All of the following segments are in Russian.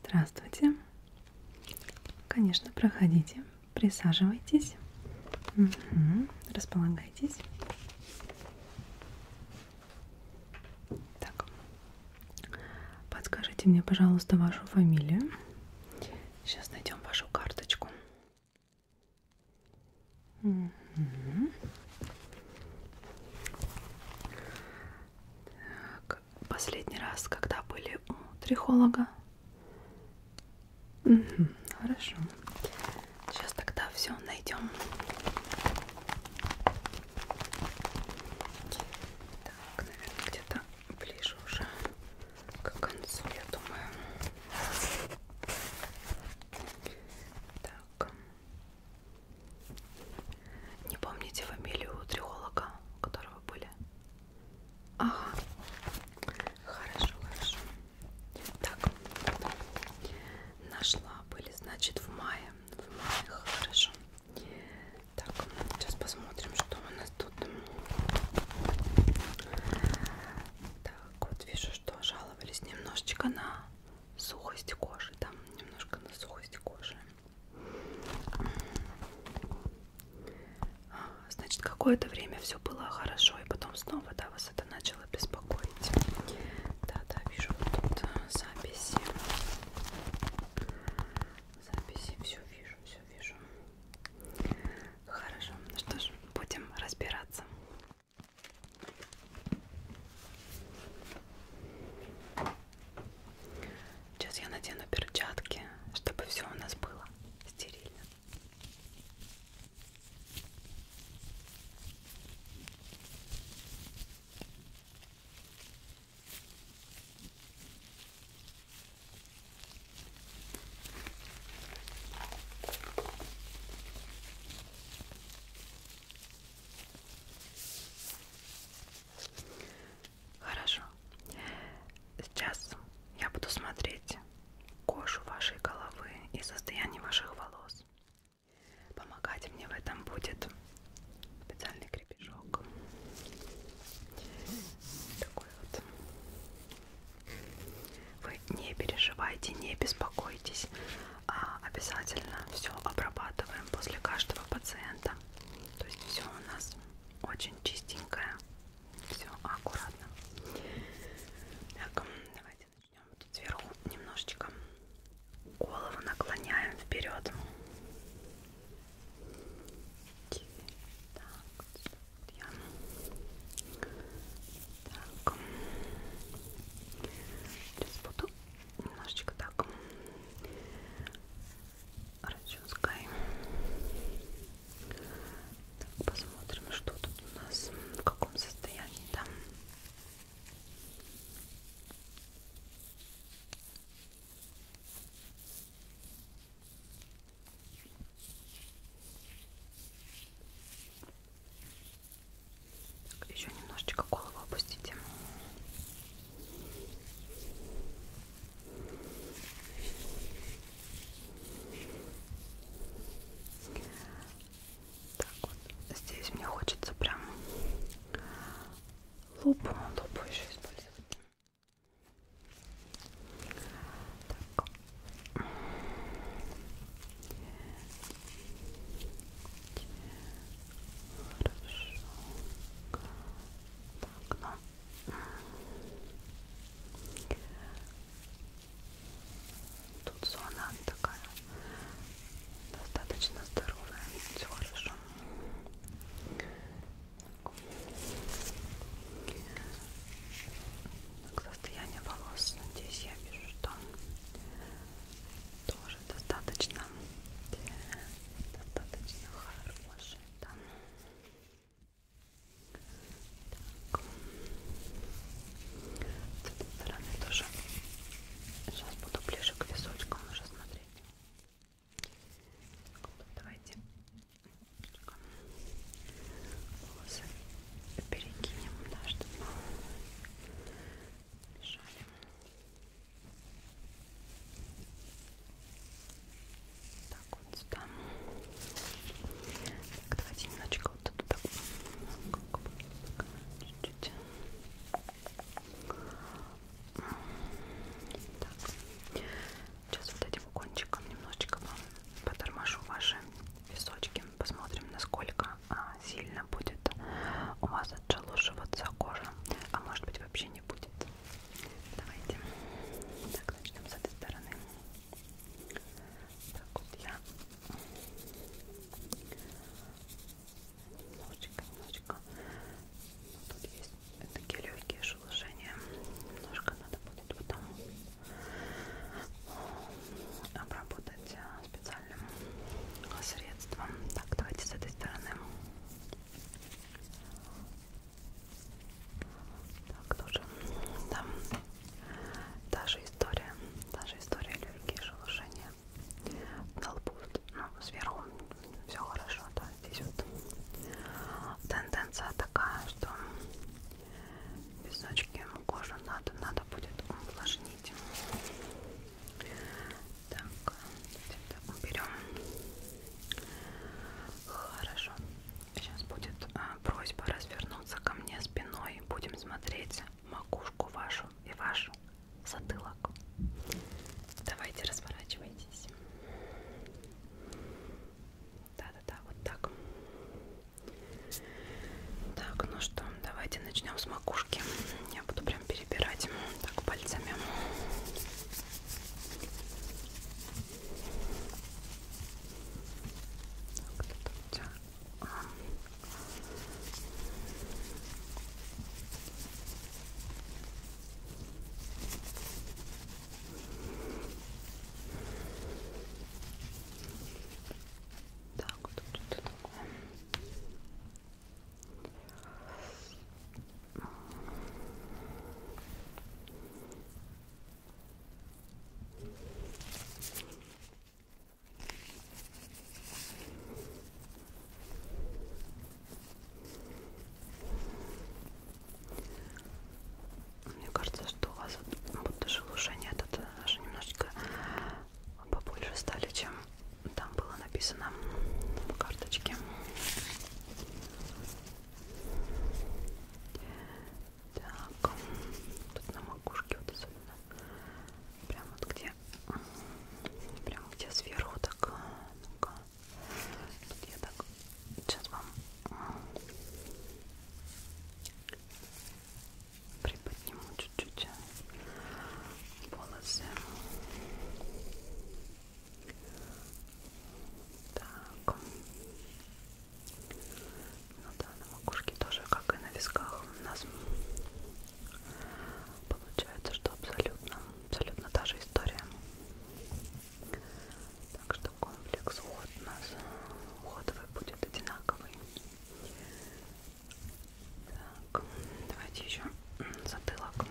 Здравствуйте. Конечно, проходите, присаживайтесь, угу. располагайтесь. Так, подскажите мне, пожалуйста, вашу фамилию Сейчас найдем вашу карточку. Угу. Так, последний раз, когда были у трихолога? Угу, хорошо. Сейчас тогда все найдем. Так, наверное, где-то ближе уже к концу, я думаю. Так. Не помните фамилию триолога, у которого были? Ага. Хорошо, хорошо. Так. Нашла. Были, значит, в мае. В мае. Хорошо. Так, сейчас посмотрим, что у нас тут. Так, вот вижу, что жаловались немножечко на сухость кожи. Там немножко на сухость кожи. А, значит, какое-то время все было хорошо, и потом снова, да, вас это начало беспокоить. Да-да, вижу вот тут а, записи. Записи, все вижу, все вижу. Хорошо, ну что ж, будем разбираться. Сейчас я надену перчатки, чтобы все у нас было стерильно. Хорошо. Сейчас я буду смотреть кожу вашей головы и состояние ваших волос. Помогать мне в этом будет специальный крепежок. Такой вот вы не переживайте, не беспокойтесь. А, обязательно все обрабатываем после каждого пациента. То есть все у нас очень чистенькое. Все аккуратно. Так, давайте начнем. Тут сверху немножечко голову наклоняем вперед. Так, вот сюда я. Так. Сейчас буду немножечко так расческаем. Так, посмотрим, что тут у нас, в каком состоянии там. Да? Так, еще немножечко голову опустите. Так вот, здесь мне хочется прям лупу, лупу еще использовать. Так. Хорошо. Так, ну. Тут зона такая достаточно здоровая, все хорошо. Так, состояние волос, надеюсь, я вижу, что тоже достаточно, достаточно хорошее. Да. Так. С этой стороны тоже. Сейчас буду ближе к височкам уже смотреть. Давайте волосы перекинем, да, чтобы мешали. Так вот сюда. Так, давайте немножечко вот тут так. Чуть-чуть. Так. Сейчас вот этим кончиком немножечко вам поторможу ваши височки, посмотрим, насколько а, сильно будет у вас отшелушиваться кожа, а может быть вообще не будет. Давайте так начнем с этой стороны. Так вот я немножечко, немножечко. Тут есть такие легкие шелушения. Немножко надо будет потом обработать э, специальным средством. Так, давайте с этой стороны. Так, тоже там та же история, та же история легкие шелушения на лбу, ну, сверху все хорошо, да, здесь вот тенденция такая, что песочки кожу надо надо будет увлажнить так это уберем хорошо сейчас будет а, просьба развернуться ко мне спиной будем смотреть макушку вашу и вашу затылок давайте разворачивайтесь да-да-да, вот так. Так, ну что, давайте начнем с макушки. Я буду прям перебирать так пальцами. Так, тут у тебя... Так, так, вот тут вот, такое. Вот. Мне кажется, что у вас вот, вот даже шелушения это даже немножечко побольше стали, чем там было написано в карточке. Так, тут на макушке вот особенно, прям вот где, прям где сверху так, ну-ка, тут я так, сейчас вам приподниму чуть-чуть волосы. Э, так. Ну да, на макушке тоже, как и на висках, у нас получается, что абсолютно, абсолютно та же история. Так что комплекс уход у нас уходовый будет одинаковый. Так, давайте еще затылок.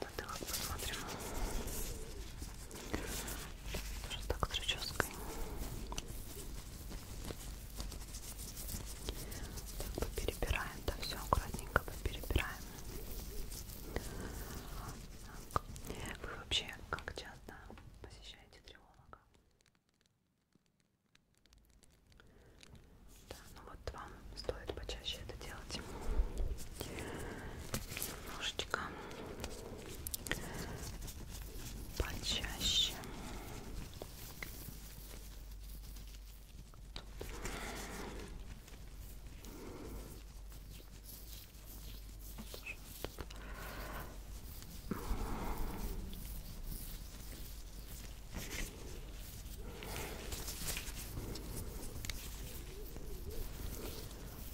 Затылок посмотрим. Тоже так с расческой. Так, поперебираем, да, все аккуратненько поперебираем. Так. Вы вообще как часто посещайте триолога. Да, ну вот вам стоит почаще это делать. Немножечко почаще. Тут.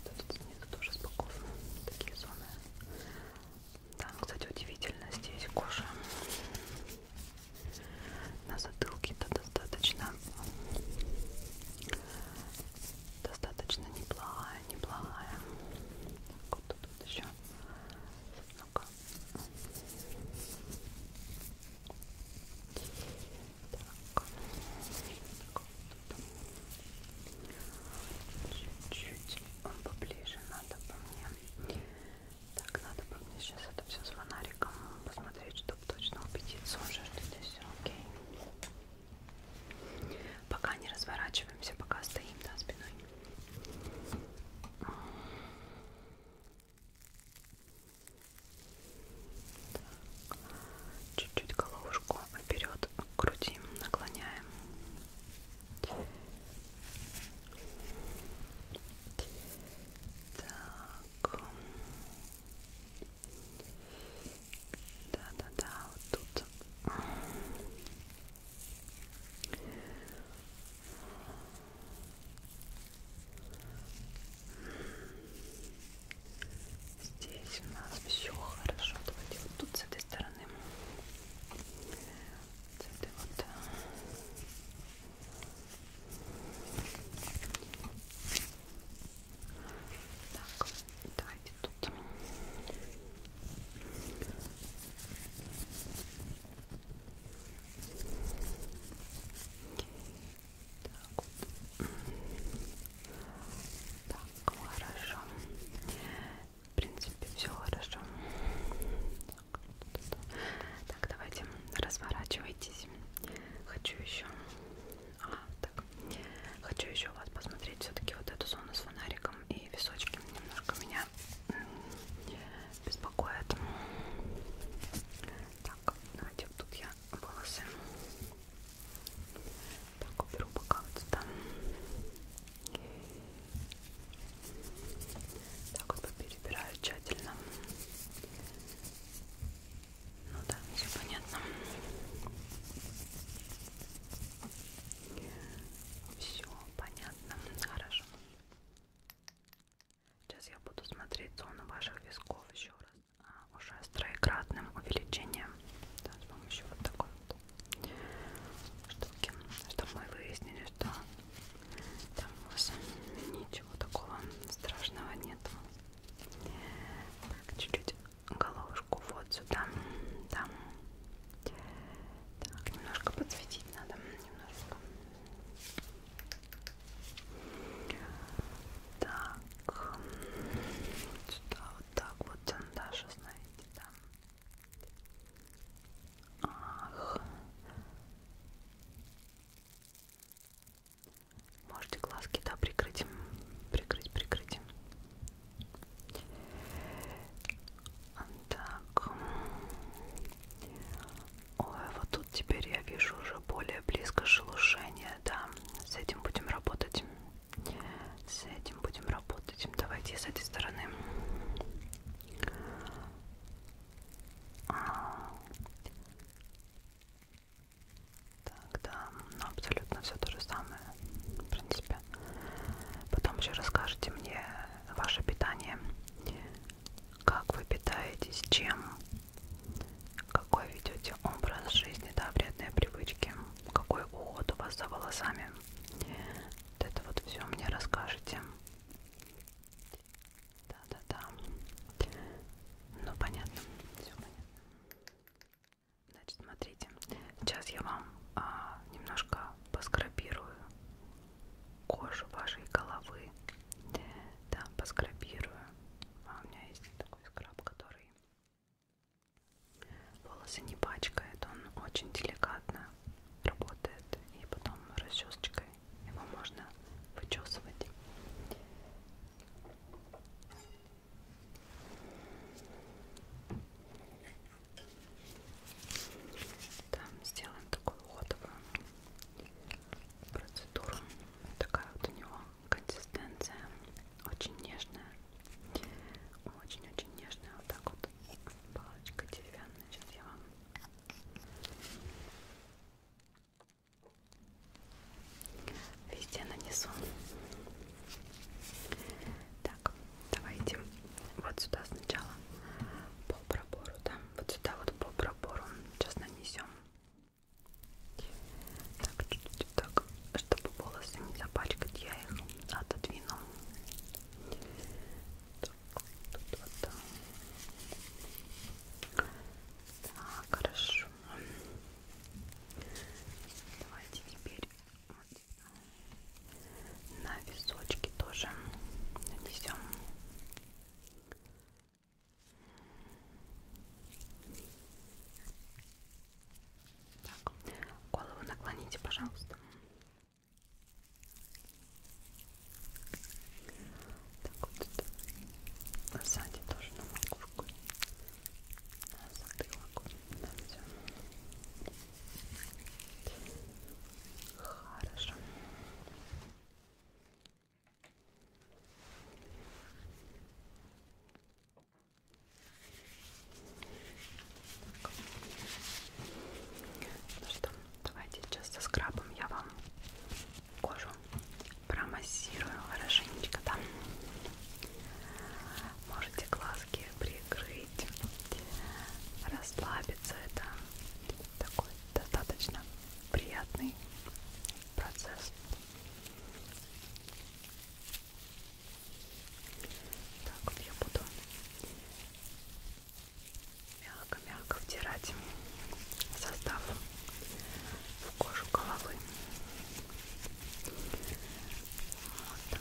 Тут снизу тоже спокойно, такие зоны. Там, кстати, удивительно, здесь кожа на затылке-то достаточно достаточно неплохая, неплохая. Вот тут еще. Ну -ка. Так. Чуть-чуть он поближе надо по мне. Так, надо бы мне сейчас это все с фонариком посмотреть, чтобы точно убедиться уже, что здесь все окей. Пока не разворачиваемся, пока стоим, да, спиной. Чуть-чуть головушку вперед к груди наклоняем. Так. Да-да-да, вот тут. Здесь у нас все хорошо. Давайте вот тут с этой стороны. С этой вот. Так, давайте тут вот. Так. так, хорошо. В принципе, все хорошо. Так, давайте разворачивайтесь. Хочу еще. А, так Хочу еще у вас посмотреть все-таки вот эту зону с фонариком и височки. Немножко меня беспокоит. Так, давайте вот тут я волосы. Так, уберу пока вот сюда. Так вот перебираю тщательно. Ну да, все понятно. Все понятно, хорошо. Сейчас я буду смотреть зону ваших висков еще раз. А, уже с троекратным увеличением. Да, с помощью вот такой вот штуки. Чтобы мы выяснили, что там у вас ничего такого страшного нет. Так, чуть-чуть головушку вот сюда, там. Так, немножко подсветить надо, немножко. Так, сюда вот так вот, даже знаете, там. Ах. Можете глазки, да, прикрыть, прикрыть, прикрыть. Так. Ой, вот тут теперь я вижу уже более близко шелушение, да. С этим будем работать. С этим будем работать. Давайте с этой стороны. А. Так, да, ну абсолютно все то же самое. В принципе себя. Потом еще расскажите мне ваше питание, как вы питаетесь, чем, какой ведете образ жизни, да, вредные привычки, какой уход у вас за волосами. Вот это вот все мне расскажете. Да-да-да. Ну понятно, все понятно. Значит, смотрите, сейчас я вам а, немножко поскрабирую кожу вашей головы. Да, поскрабирую. А у меня есть такой скраб, который волосы не пачкает, он очень деликатно работает. И потом расчесочкой его можно вычесывать. Да, сделаем такую уходовую процедуру. Такая вот у него консистенция. Очень нежная. Очень-очень нежная. Вот так вот. Палочка деревянная. Сейчас я вам везде нанесу. Да, так, давайте вот сюда сначала по пробору, да, вот сюда вот по пробору. Сейчас нанесем. Так, чуть-чуть так, чтобы волосы не запачкать, я их отодвину. Так, тут вот так. Так, хорошо. Давайте теперь вот. На височки тоже нанесем. Так, голову наклоните, пожалуйста. Так вот, сзади тоже на макушку, на затылок, на все. Хорошо. Так. Ну что, давайте сейчас со скрабом я вам кожу промассирую хорошенечко, да? можете глазки прикрыть, расслабиться. Это такой достаточно приятный процесс. Так вот я буду мягко-мягко втирать состав в кожу головы. Вот.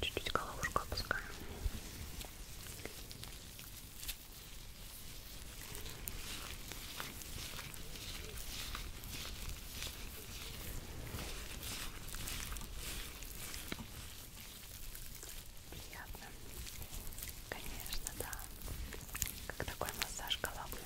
Чуть-чуть головушку опускаем. Приятно. Конечно, да. Как такой массаж головы.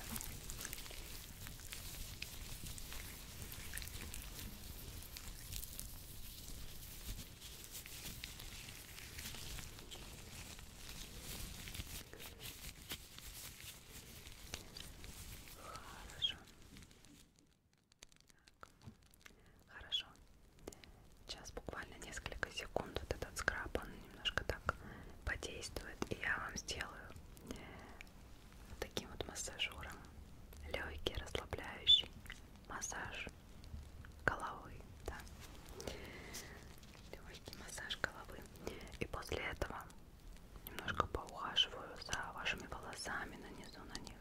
Хорошо. Так. Хорошо. Сейчас буквально несколько секунд вот этот скраб, он немножко так подействует. И я вам сделаю таким вот массажером. Легкий, расслабляющий массаж головы. Да? Легкий массаж головы. И после этого немножко поухаживаю за вашими волосами, нанизу на них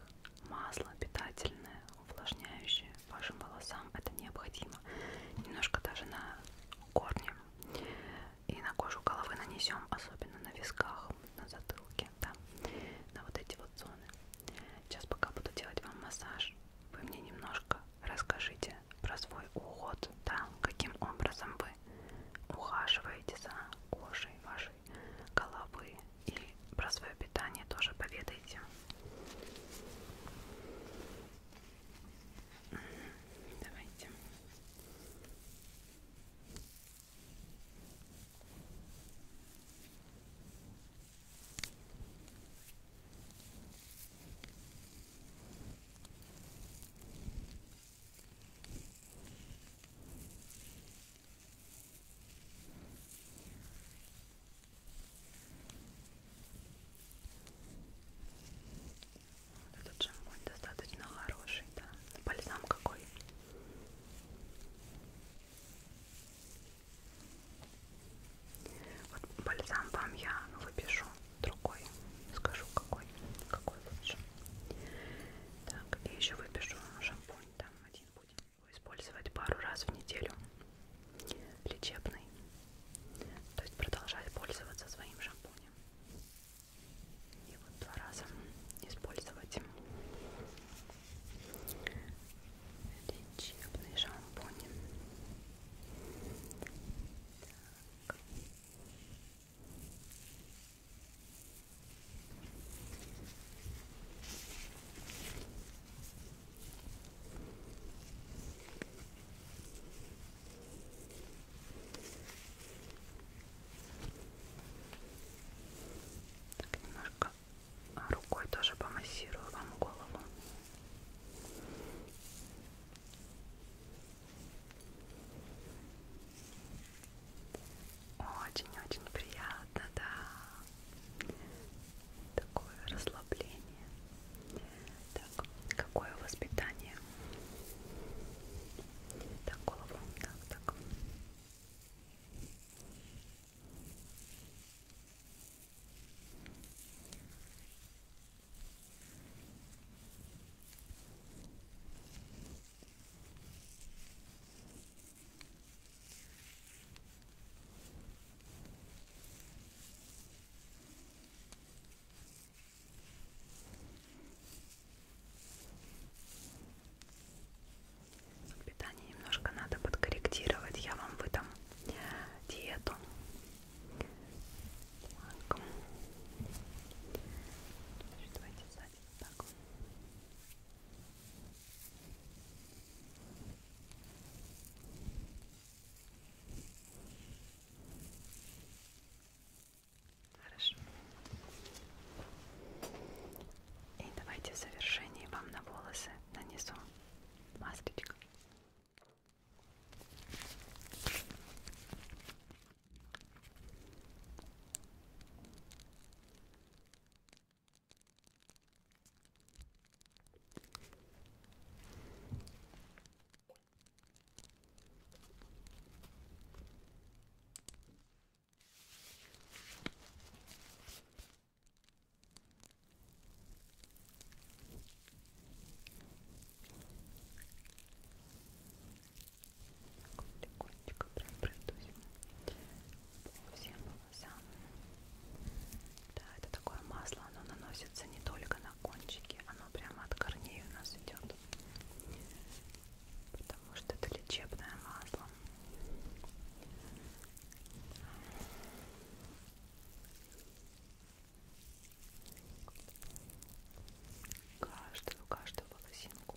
масло питательное, увлажняющее вашим волосам. Это необходимо. Немножко даже на корне и на кожу головы нанесем, особенно на висках, на затылке, да, на вот эти вот зоны. Сейчас пока буду делать вам массаж, вы мне немножко расскажите про свой уход, да, каким образом вы ухаживаете за кожей вашей головы, и про свое питание тоже поведайте. Давайте. Вот этот шампунь достаточно хороший, да. Бальзам какой. Вот бальзам вам я выпишу другой. Скажу какой. Какой лучше. Так, и еще выпишу шампунь. Там один будет использовать пару раз в неделю лечебный, то есть продолжать пользоваться своим шампунем и вот два раза использовать лечебный шампунь. Так. Так. Так, немножко рукой тоже помассирую вам голову. Очень-очень приятно, да такое расслабление. Так, какое воспитание? Так, голову, так, так. Так, Питание немножко надо подкорректировать. Я вам выдам диету. Так. Давайте сзади. Так. Хорошо. И давайте в завершении вам на волосы нанесу масочку. Легонечко прям пройдусь по всем волоса. Да, это такое масло, оно наносится не только на кончики, оно прямо от корней у нас идет. Потому что это лечебное масло. Каждую, каждую волосинку.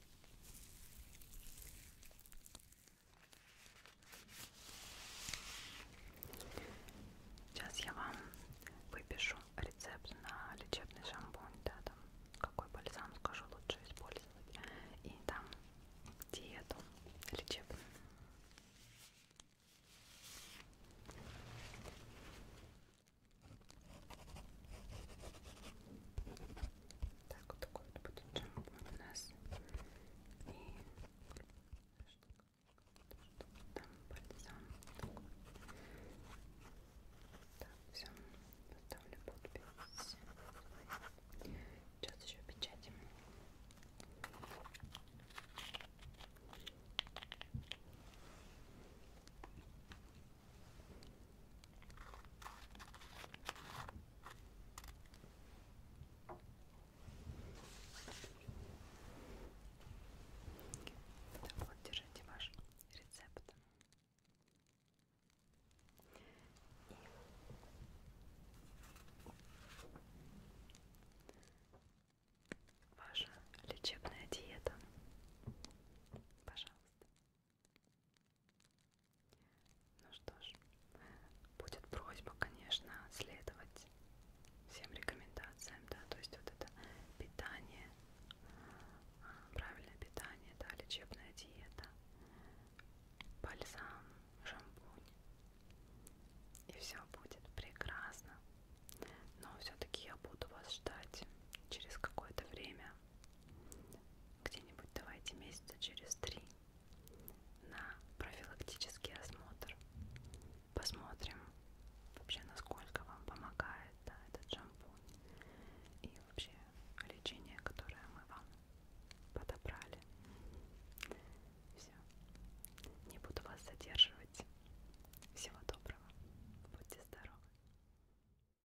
Сейчас я вам выпишу рецепт на лечебный шампунь, да, там какой бальзам скажу лучше использовать, и там диету лечебную. Так, вот такой вот будет джамп у нас. И там бальзам. Так, все, поставлю подпись. Сейчас еще печатим. Так, это вот, держите ваш рецепт. И ваша лечебная диета. Пожалуйста. Ну что ж, будет просьба, конечно, следовать всем рекомендациям, да, то есть вот это питание, а, правильное питание, да, лечебная диета, бальзам, шампунь, и все будет прекрасно. Но все-таки я буду вас ждать через какое-то время где-нибудь давайте месяца через три на профилактический осмотр. Посмотрим вообще, насколько вам помогает да, этот шампунь и вообще лечение, которое мы вам подобрали. Все. Не буду вас задерживать. Всего доброго. Будьте здоровы.